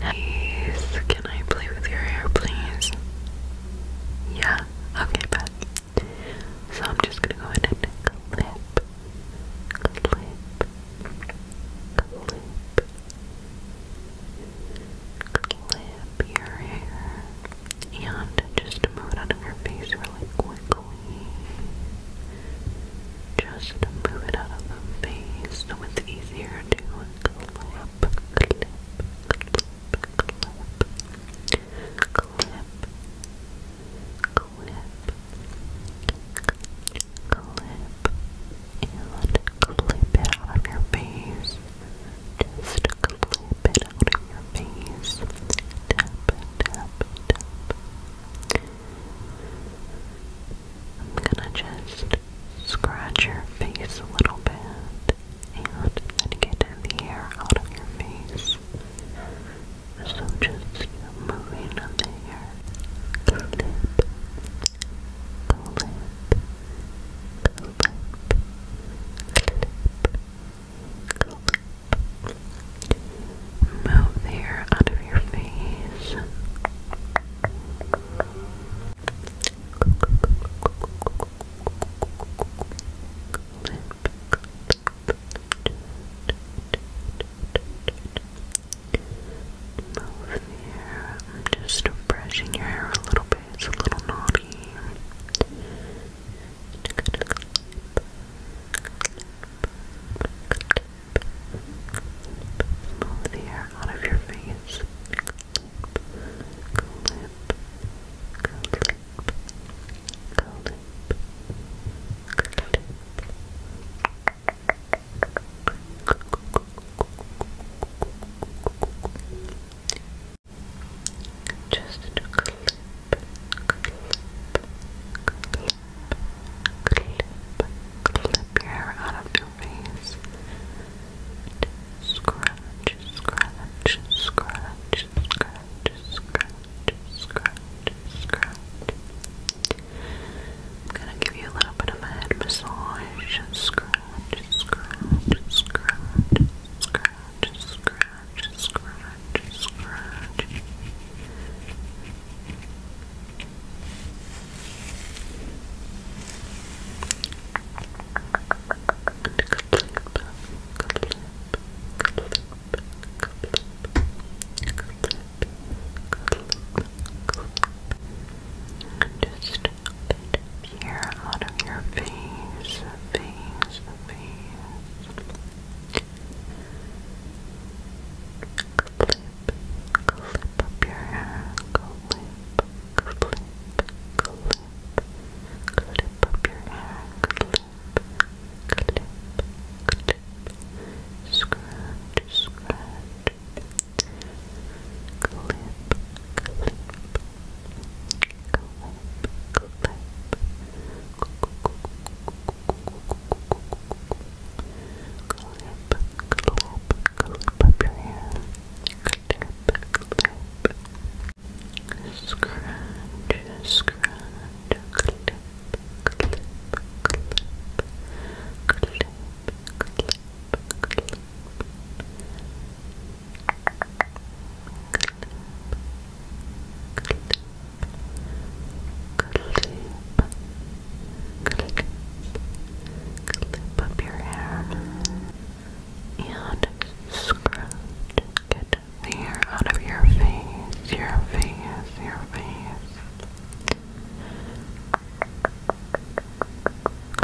Please, can I play with your hair, please? Yeah, okay, bet. So I'm just gonna go ahead and clip, clip, clip, your hair, and just move it out your face really quickly. Just move it out of the face so it's easier to clip, clip, clip, clip, clip, clip, and clip it out of your face. Just clip it out of your face. Tap, tap, tap. I'm gonna just scratch your face a little bit and then get the hair out of your face. So just moving the hair. Move the hair out of your face. Move the hair. I'm just brushing your hair a little bit. It's a little naughty. Move the air out of your face. Clip, clip, clip, clip. Just clip, clip, clip, clip, clip your hair out of your face. Scratch, scratch, scratch, scratch, scratch, scratch, scratch. I'm gonna give you a little bit of a head massage. Scratch, scratch, scratch, scratch, scratch, scratch scratch, scratch, scratch. And clip, clip, clip, clip. Clip, clip, clip. Just bit of out of your face, face, face. Clip, clip up your hair, clip, clip, clip. Clip up your hair, clip, clip, clip. Scratch, scratch. Clip, clip, up your hair. Scratch, scratch, clip, clip, clip, clip, clip, clip, clip clip, clip, clip up your hair and scratch, the hair out of your face, your face, your face.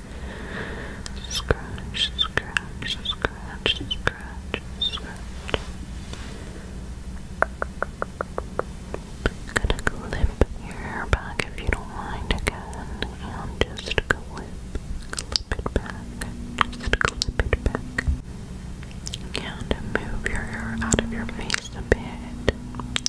Scratch, scratch, scratch, scratch, scratch. gonna clip your hair back if you don't mind again. And just clip, clip it back. Just clip it back. And move your hair out of your face a bit.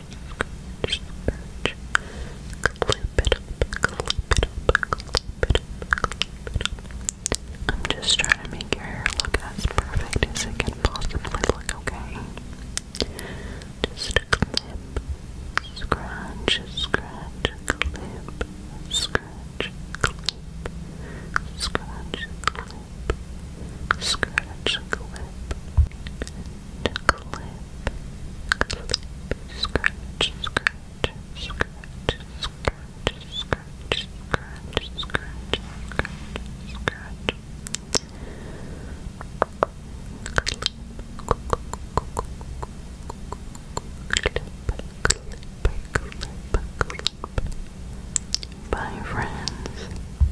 I'm just trying to make your hair look as perfect as it can possibly look, okay? Just a clip, scratch, scratch, clip, scratch, clip, scratch, clip, scratch, clip clip, clip, scratch, scratch, scratch, scratch, scratch, scratch, scratch, scratch, clip, clip, clip, clip, clip. Bye friends.